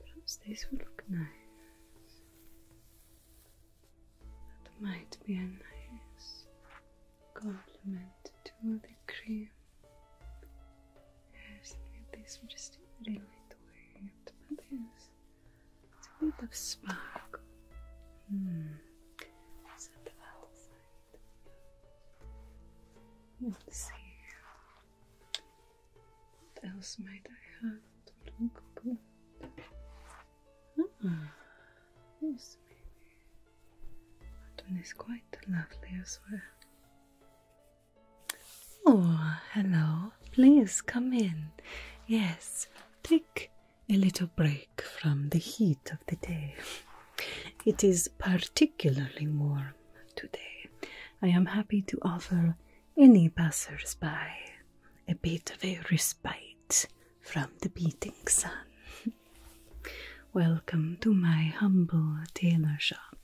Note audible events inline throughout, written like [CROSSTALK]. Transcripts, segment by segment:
Perhaps this would look nice. That might be a nice complement to the cream. Yes, this, i just really doing But yes, a bit of sparkle. Hmm. So the other side. Let's see. What else might I have to look good? Oh, yes, is quite lovely as well. Oh, hello. Please come in. Yes, take a little break from the heat of the day. It is particularly warm today. I am happy to offer any passersby a bit of a respite from the beating sun. Welcome to my humble tailor shop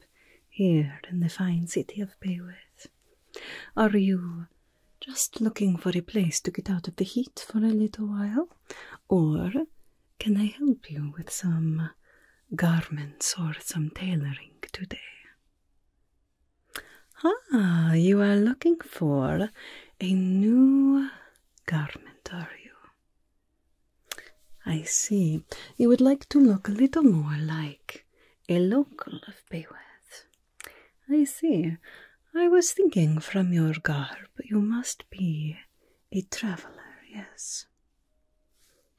here in the fine city of Bayreuth. Are you just looking for a place to get out of the heat for a little while? Or can I help you with some garments or some tailoring today? Ah, you are looking for a new garment are you? I see. You would like to look a little more like a local of Bayreuth. I see. I was thinking from your garb you must be a traveller, yes.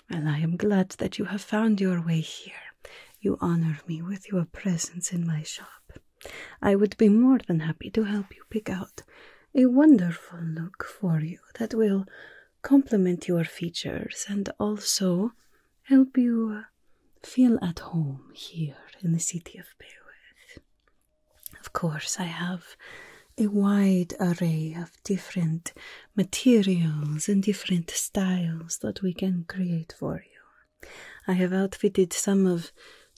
Well, I am glad that you have found your way here. You honor me with your presence in my shop. I would be more than happy to help you pick out a wonderful look for you that will complement your features and also help you feel at home here in the city of Beowulf. Of course, I have a wide array of different materials and different styles that we can create for you. I have outfitted some of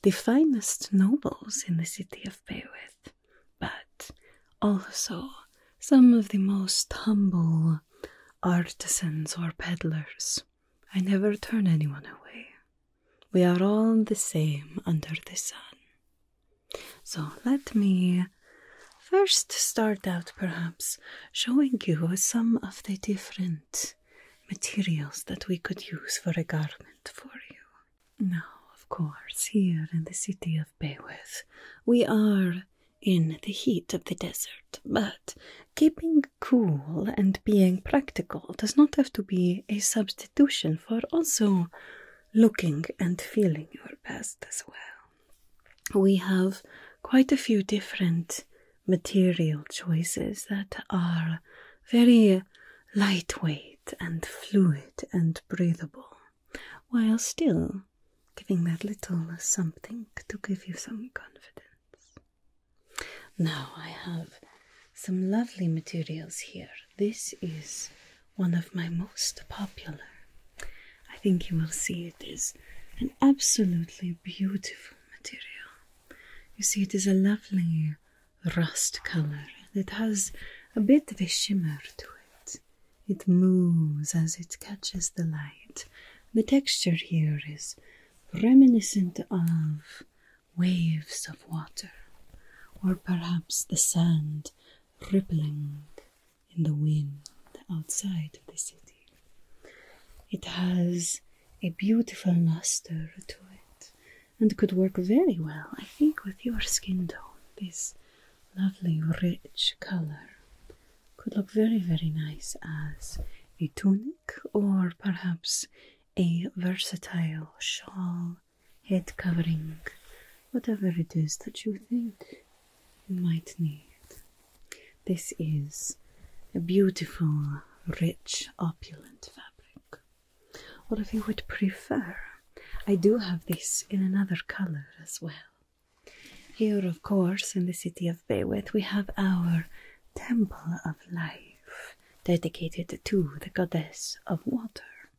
the finest nobles in the city of Bayreuth, but also some of the most humble artisans or peddlers. I never turn anyone away. We are all the same under the sun. So let me first start out perhaps showing you some of the different materials that we could use for a garment for you. Now, of course, here in the city of Beowulf, we are in the heat of the desert, but keeping cool and being practical does not have to be a substitution for also looking and feeling your best as well. We have quite a few different material choices that are very lightweight and fluid and breathable, while still giving that little something to give you some confidence. Now, I have some lovely materials here. This is one of my most popular. I think you will see it is an absolutely beautiful material. You see, it is a lovely rust color It has a bit of a shimmer to it. It moves as it catches the light. The texture here is reminiscent of waves of water, or perhaps the sand rippling in the wind outside of the city. It has a beautiful luster to it and could work very well, I think, with your skin tone. This lovely, rich color could look very, very nice as a tunic or perhaps a versatile shawl, head covering, whatever it is that you think you might need. This is a beautiful, rich, opulent fabric. Or if you would prefer, I do have this in another color as well. Here, of course, in the city of Beywith, we have our Temple of Life, dedicated to the goddess of water.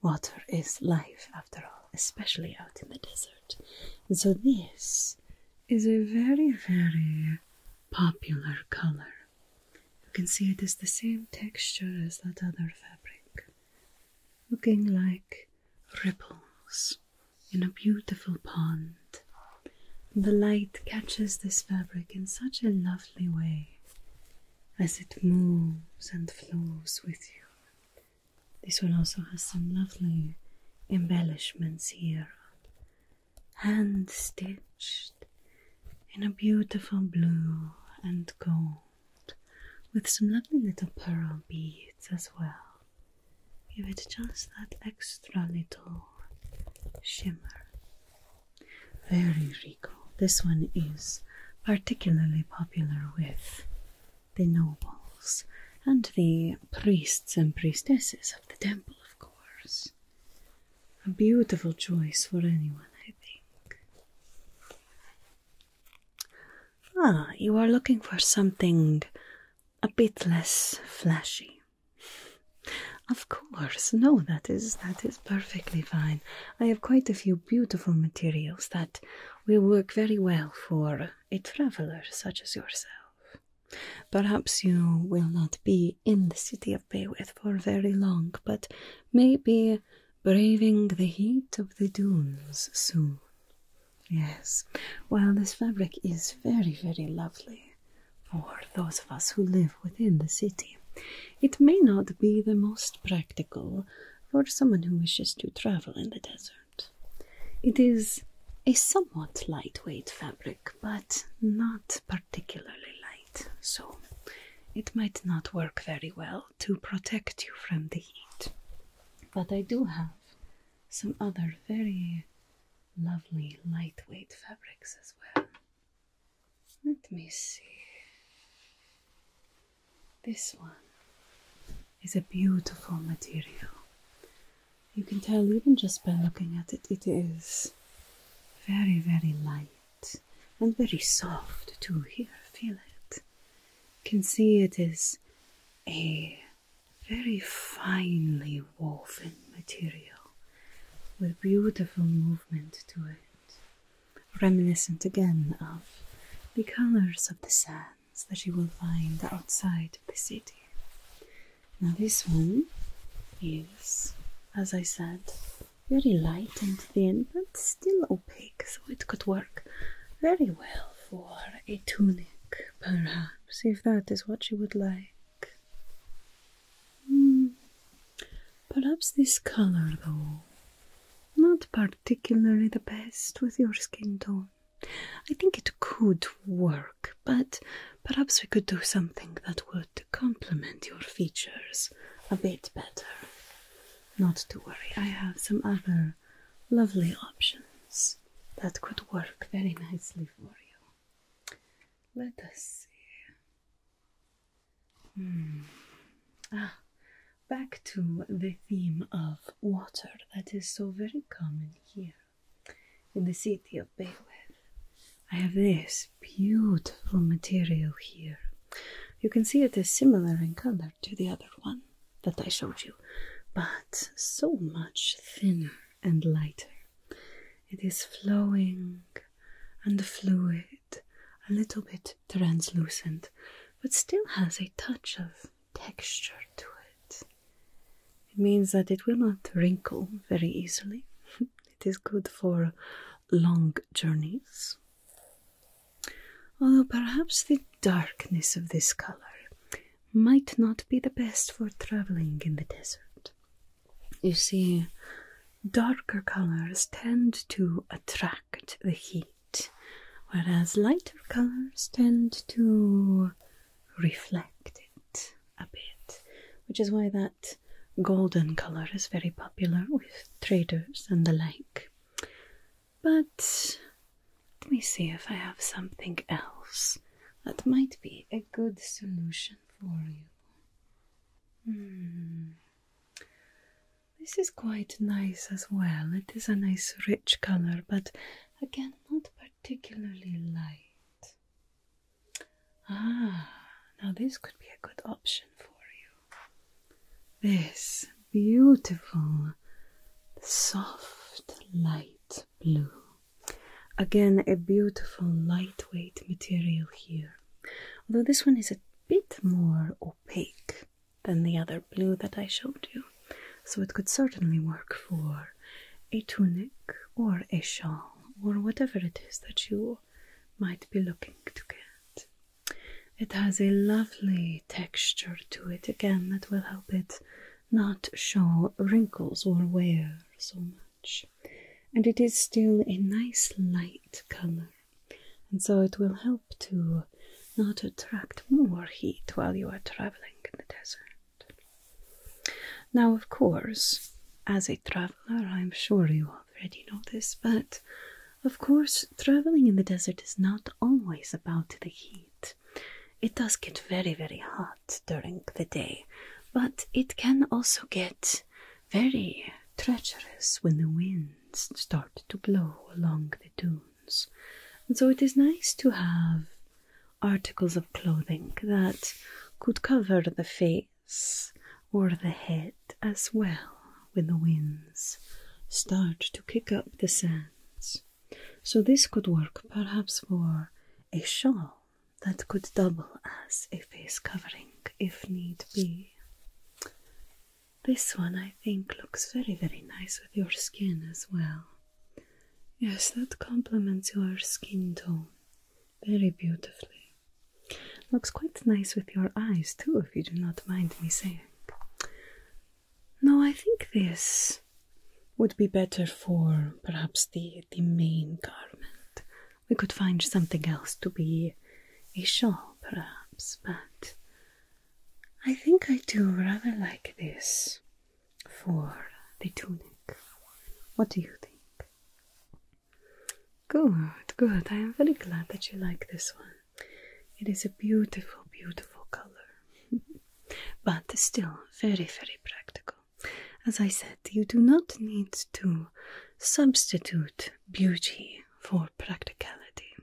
Water is life, after all, especially out in the desert. And so, this is a very, very popular color. You can see it is the same texture as that other fabric, looking like ripples in a beautiful pond. The light catches this fabric in such a lovely way as it moves and flows with you. This one also has some lovely embellishments here hand stitched in a beautiful blue and gold with some lovely little pearl beads as well. Give it just that extra little shimmer. Very regal. This one is particularly popular with the nobles and the priests and priestesses of the temple, of course a beautiful choice for anyone, I think. Ah, you are looking for something a bit less flashy. Of course, no, that is that is perfectly fine. I have quite a few beautiful materials that will work very well for a traveler such as yourself. Perhaps you will not be in the city of Bayreuth for very long, but maybe braving the heat of the dunes soon. Yes, while this fabric is very, very lovely for those of us who live within the city. It may not be the most practical for someone who wishes to travel in the desert. It is a somewhat lightweight fabric, but not particularly light so it might not work very well to protect you from the heat. But I do have some other very lovely lightweight fabrics as well. Let me see. This one is a beautiful material. You can tell even just by looking at it, it is very, very light and very soft to here, feel it. Can see it is a very finely woven material with beautiful movement to it, reminiscent again of the colors of the sands that you will find outside of the city. Now, this one is, as I said, very light and thin, but still opaque, so it could work very well for a tunic, perhaps, if that is what you would like. Hmm. Perhaps this color, though, not particularly the best with your skin tone. I think it could work, but perhaps we could do something that would complement your features a bit better. Not to worry, I have some other lovely options that could work very nicely for you. Let us see. Hmm. Ah, back to the theme of water that is so very common here in the city of Bayreuth. I have this beautiful material here you can see it is similar in color to the other one that I showed you, but so much thinner and lighter. It is flowing and fluid, a little bit translucent, but still has a touch of texture to it. It means that it will not wrinkle very easily. [LAUGHS] it is good for long journeys although perhaps the darkness of this color might not be the best for traveling in the desert. You see, darker colors tend to attract the heat, whereas lighter colors tend to reflect it a bit, which is why that golden color is very popular with traders and the like. But let me see if I have something else that might be a good solution for you. Hmm. This is quite nice as well. It is a nice rich color, but again, not particularly light. Ah, now this could be a good option for you this beautiful soft light blue. Again, a beautiful lightweight material here, although this one is a bit more opaque than the other blue that I showed you, so it could certainly work for a tunic or a shawl or whatever it is that you might be looking to get. It has a lovely texture to it again that will help it not show wrinkles or wear so much. And it is still a nice light color, and so it will help to not attract more heat while you are traveling in the desert. Now, of course, as a traveler, I'm sure you already know this, but of course, traveling in the desert is not always about the heat. It does get very, very hot during the day, but it can also get very treacherous when the winds start to blow along the dunes. And so it is nice to have articles of clothing that could cover the face or the head as well when the winds start to kick up the sands. So this could work perhaps for a shawl that could double as a face covering if need be. This one I think looks very, very nice with your skin as well. Yes, that complements your skin tone very beautifully. Looks quite nice with your eyes too, if you do not mind me saying no, I think this would be better for perhaps the the main garment. We could find something else to be a shawl, perhaps, but I think I do rather like this for the tunic. What do you think? Good, good. I am very glad that you like this one. It is a beautiful, beautiful color, [LAUGHS] but still very, very practical. As I said, you do not need to substitute beauty for practicality.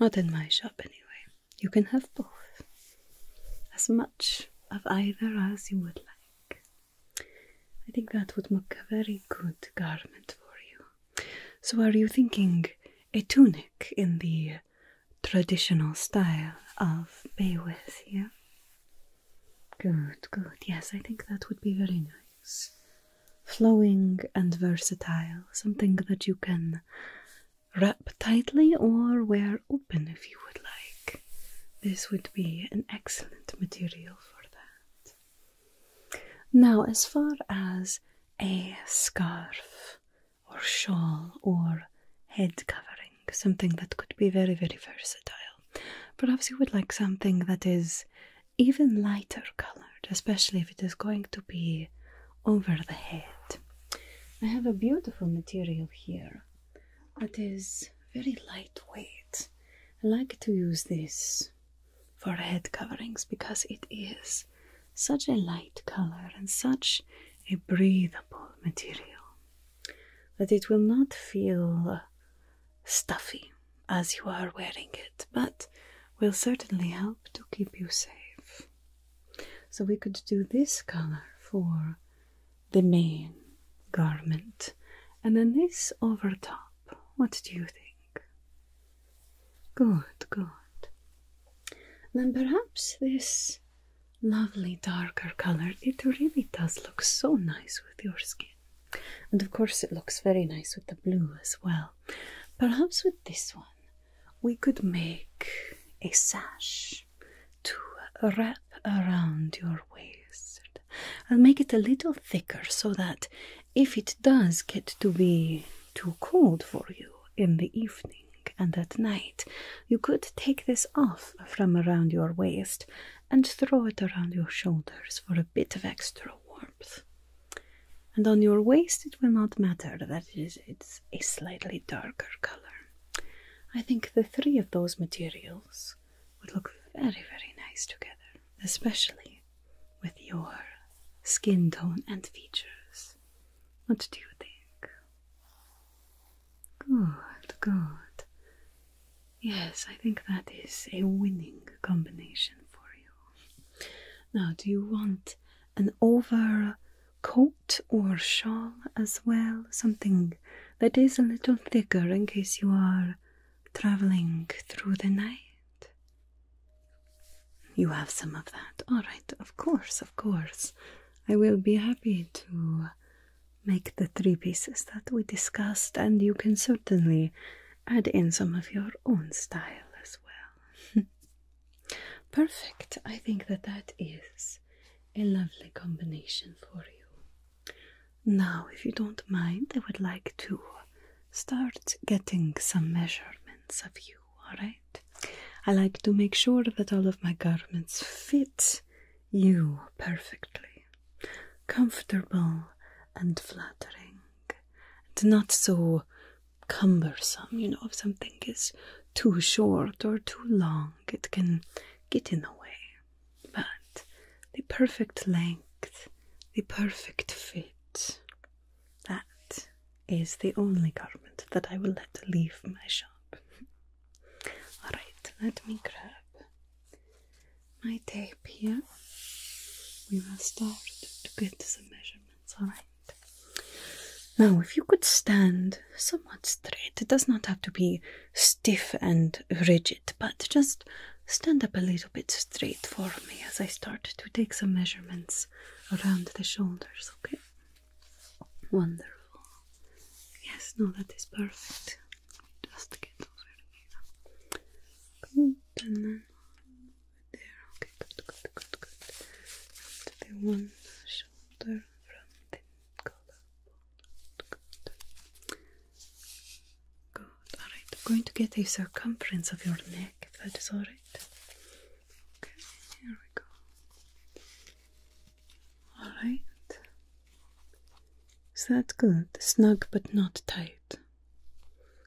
Not in my shop, anyway. You can have both. As much of either as you would like. I think that would make a very good garment for you. So, are you thinking a tunic in the traditional style of Bayreuth? Yeah. Good, good. Yes, I think that would be very nice. Flowing and versatile, something that you can wrap tightly or wear open if you would like. This would be an excellent material for that. Now, as far as a scarf or shawl or head covering, something that could be very, very versatile. Perhaps you would like something that is even lighter colored, especially if it is going to be over the head. I have a beautiful material here that is very lightweight. I like to use this for head coverings because it is such a light color and such a breathable material that it will not feel stuffy as you are wearing it, but will certainly help to keep you safe. So, we could do this color for the main garment and then this over top. What do you think? Good, good. Then perhaps this lovely darker color, it really does look so nice with your skin. And of course, it looks very nice with the blue as well. Perhaps with this one, we could make a sash to wrap around your waist. and make it a little thicker so that if it does get to be too cold for you in the evening and at night, you could take this off from around your waist and throw it around your shoulders for a bit of extra warmth. And on your waist, it will not matter is, it's a slightly darker color. I think the three of those materials would look very, very nice together, especially with your skin tone and features. What do you think? Good, good. Yes, I think that is a winning combination for you. Now, do you want an overcoat or shawl as well? Something that is a little thicker in case you are traveling through the night? You have some of that. All right, of course, of course. I will be happy to make the three pieces that we discussed, and you can certainly add in some of your own style as well. [LAUGHS] Perfect. I think that that is a lovely combination for you. Now, if you don't mind, I would like to start getting some measurements of you alright? I like to make sure that all of my garments fit you perfectly, comfortable and flattering, and not so cumbersome. You know, if something is too short or too long, it can get in the way. But the perfect length, the perfect fit, that is the only garment that I will let leave my shop. [LAUGHS] Alright, let me grab my tape here. We will start to get some measurements, alright? Now, if you could stand somewhat straight, it does not have to be stiff and rigid, but just stand up a little bit straight for me as I start to take some measurements around the shoulders, okay? Wonderful. Yes, no, that is perfect. Just get over here. Good, and then there. Okay, good, good, good, good. To the one shoulder from the collarbone. Good. Good. All right. I'm going to get a circumference of your neck. If that is all right. Okay, here we go. Alright. Is that good? Snug but not tight.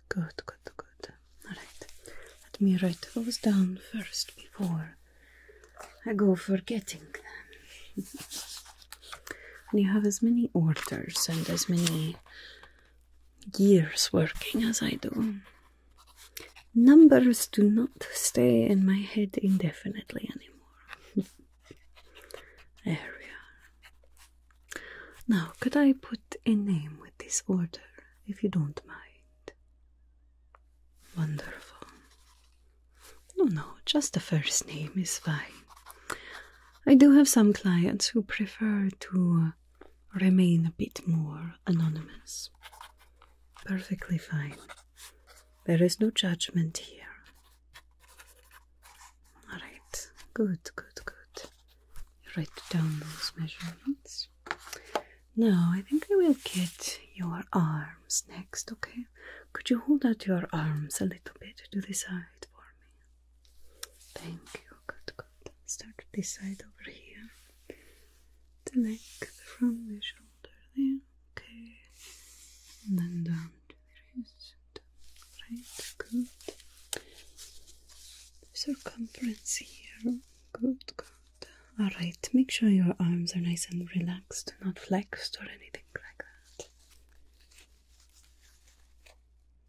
Good, good, good. Alright. Let me write those down first before I go forgetting them. [LAUGHS] and you have as many orders and as many gears working as I do. Numbers do not stay in my head indefinitely anymore. [LAUGHS] there Now, could I put a name with this order, if you don't mind? Wonderful. No, no, just the first name is fine. I do have some clients who prefer to uh, remain a bit more anonymous. Perfectly fine. There is no judgment here. All right, good, good, good. write down those measurements. Now, I think I will get your arms next, okay? Could you hold out your arms a little bit to the side for me? Thank you, good, good. Start this side over here. The leg from the shoulder there. Okay. And then down to the Right, good. Circumference here. Good, good. Alright, make sure your arms are nice and relaxed, not flexed or anything like that.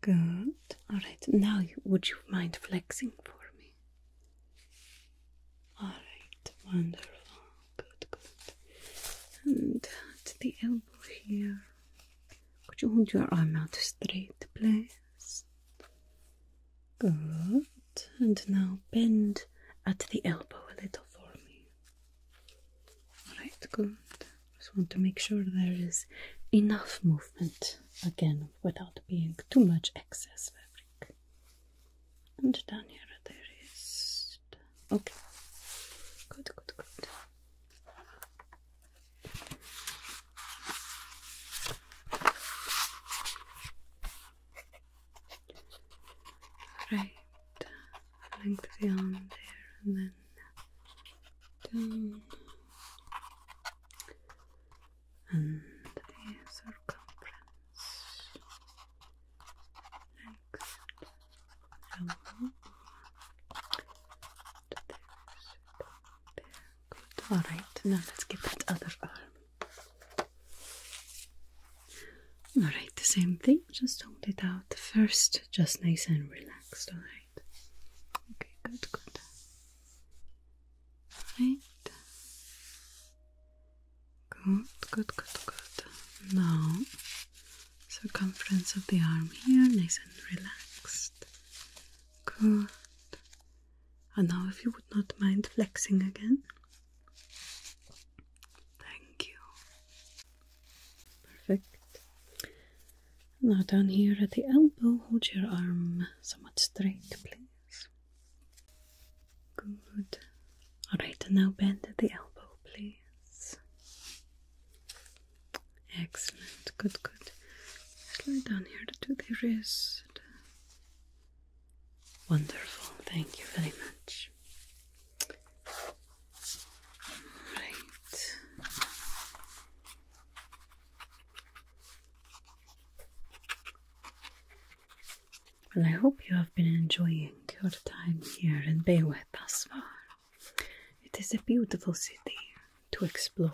Good. Alright, now would you mind flexing for me? All right, wonderful. Good, good. And at the elbow here, could you hold your arm out straight, please? Good. And now bend at the elbow a little for me. All right, good. Just want to make sure there is enough movement again without being too much excess fabric. And down here there is okay. Good, good, good. Right, length beyond there and then down and the circumference next alright, now let's get that other arm alright, the same thing, just hold it out first, just nice and relaxed, alright okay, good, good Right. Good, good, good, good. Now, circumference of the arm here, nice and relaxed. Good. And now, if you would not mind flexing again. Thank you. Perfect. Now, down here at the elbow, hold your arm somewhat straight, please. Good. Alright, now bend the elbow, please. Excellent. Good, good. Slide down here to the wrist. Wonderful. Thank you very much. Right. And I hope you have been enjoying your time here in Bayreuth thus far. It is a beautiful city to explore.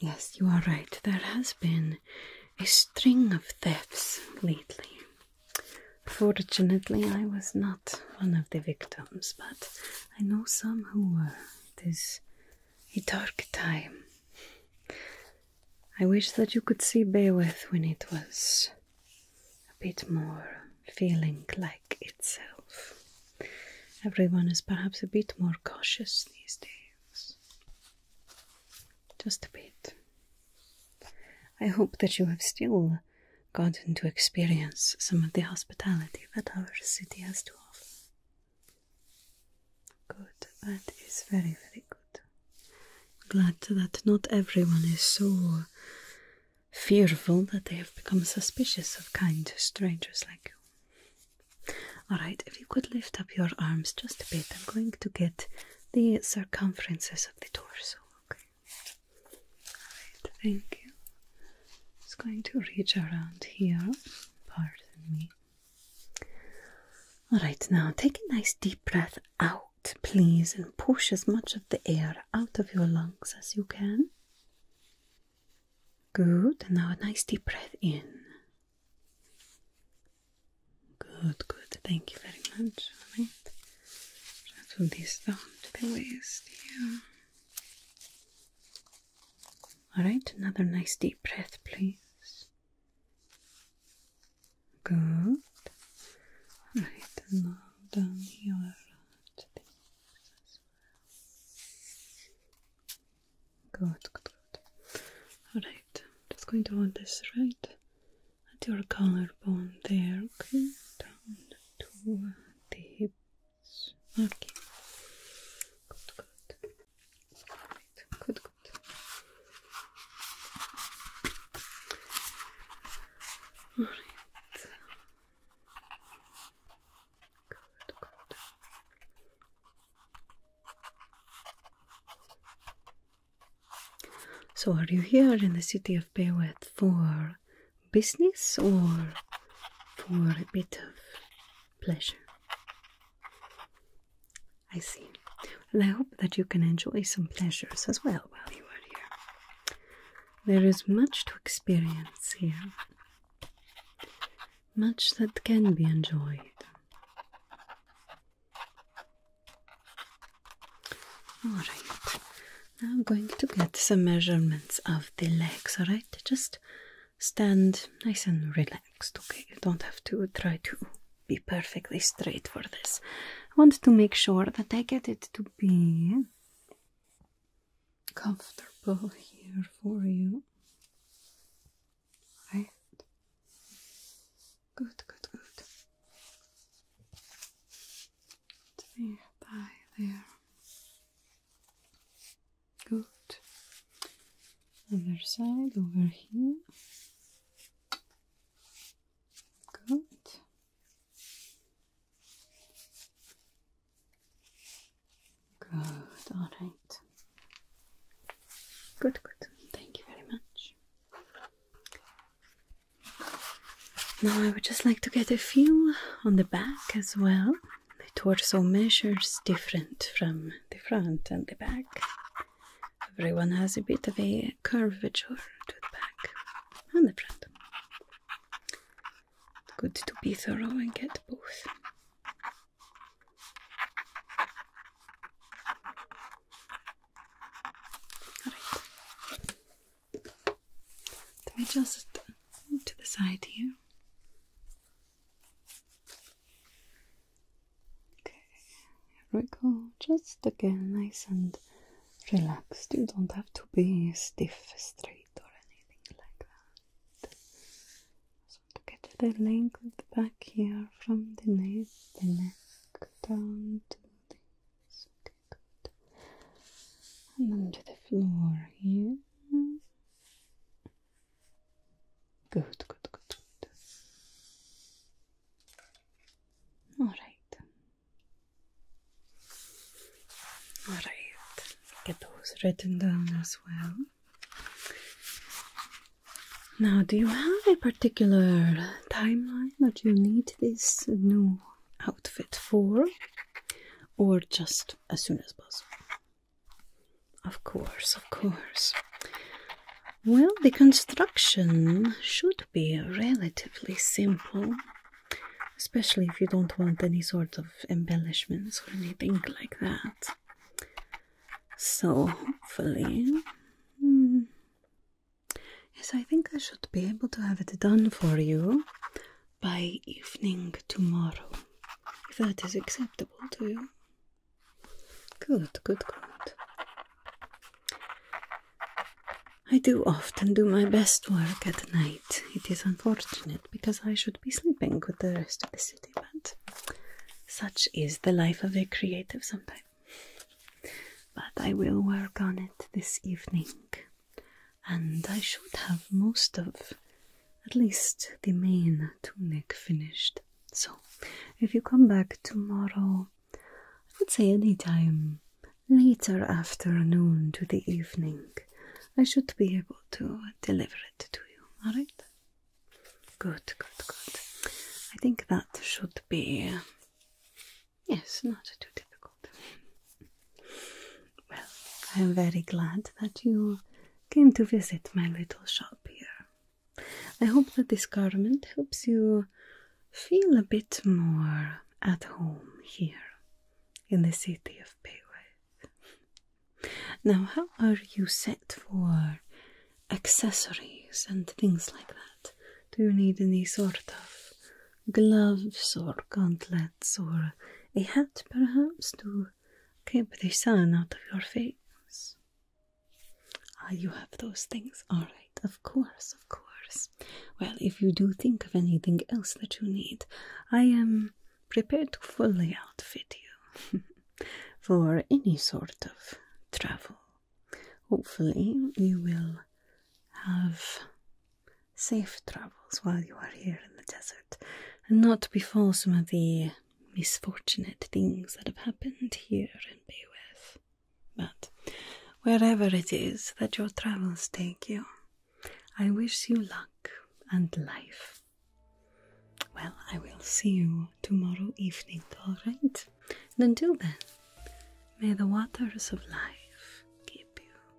Yes, you are right. There has been a string of thefts lately. Fortunately, I was not one of the victims, but I know some who were. 'tis a dark time. I wish that you could see Beowulf when it was a bit more feeling like itself. Everyone is perhaps a bit more cautious these days. Just a bit. I hope that you have still gotten to experience some of the hospitality that our city has to offer. Good, that is very, very good. Glad that not everyone is so fearful that they have become suspicious of kind strangers like you. Alright, if you could lift up your arms just a bit, I'm going to get the circumferences of the torso, okay? Alright, thank you. It's going to reach around here. Pardon me. Alright, now take a nice deep breath out, please, and push as much of the air out of your lungs as you can. Good, and now a nice deep breath in. Good, good, thank you very much. Alright, rattle these down to the waist here. All right, another nice deep breath, please. Good. All right, now down here Good, good, good. All just going to want this right at your collarbone there. Okay, down to the hip Okay. Good, good. Good, good. Good, good. So, are you here in the city of Beowet for business or for a bit of pleasure. I see. And I hope that you can enjoy some pleasures as well while you are here. There is much to experience here, much that can be enjoyed. Alright, now I'm going to get some measurements of the legs, alright? Just stand nice and relaxed, okay? You don't have to try to be perfectly straight for this. I want to make sure that I get it to be comfortable here for you. Right? Good, good, good. To the there. Good. Other side over here. Good. Good. All right. Good, good. Thank you very much. Now I would just like to get a feel on the back as well the torso measures different from the front and the back. Everyone has a bit of a curvature to the back and the front. Good to be thorough and get both. Let me just move to the side here. Okay, here we go. Just again, nice and relaxed. You don't have to be stiff, straight, or anything like that. So to get the length back here from the neck, the neck down to this. Okay, good. And onto the floor here. Good, good, good, good. All right. All right. Get those written down as well. Now, do you have a particular timeline that you need this new outfit for, or just as soon as possible? Of course, of course. Well, the construction should be relatively simple, especially if you don't want any sort of embellishments or anything like that. So, hopefully. Hmm, yes, I think I should be able to have it done for you by evening tomorrow if that is acceptable to you. Good, good, good. I do often do my best work at night. It is unfortunate because I should be sleeping with the rest of the city, but such is the life of a creative sometimes. But I will work on it this evening, and I should have most of at least the main tunic finished. So, if you come back tomorrow, I would say any time later afternoon to the evening, I should be able to deliver it to you. All right? Good, good, good. I think that should be. yes, not too difficult. Well, I am very glad that you came to visit my little shop here. I hope that this garment helps you feel a bit more at home here in the city of Bayreuth. Now, how are you set for accessories and things like that? Do you need any sort of gloves or gauntlets or a hat perhaps to to keep the sun out of your face. Ah, you have those things. All right, of course, of course. Well, if you do think of anything else that you need, I am prepared to fully outfit you [LAUGHS] for any sort of travel. Hopefully, you will have safe travels while you are here in the desert and not befall some of the misfortunate things that have happened here in Beowulf. But wherever it is that your travels take you, I wish you luck and life. Well, I will see you tomorrow evening, alright? And until then, may the waters of life keep you.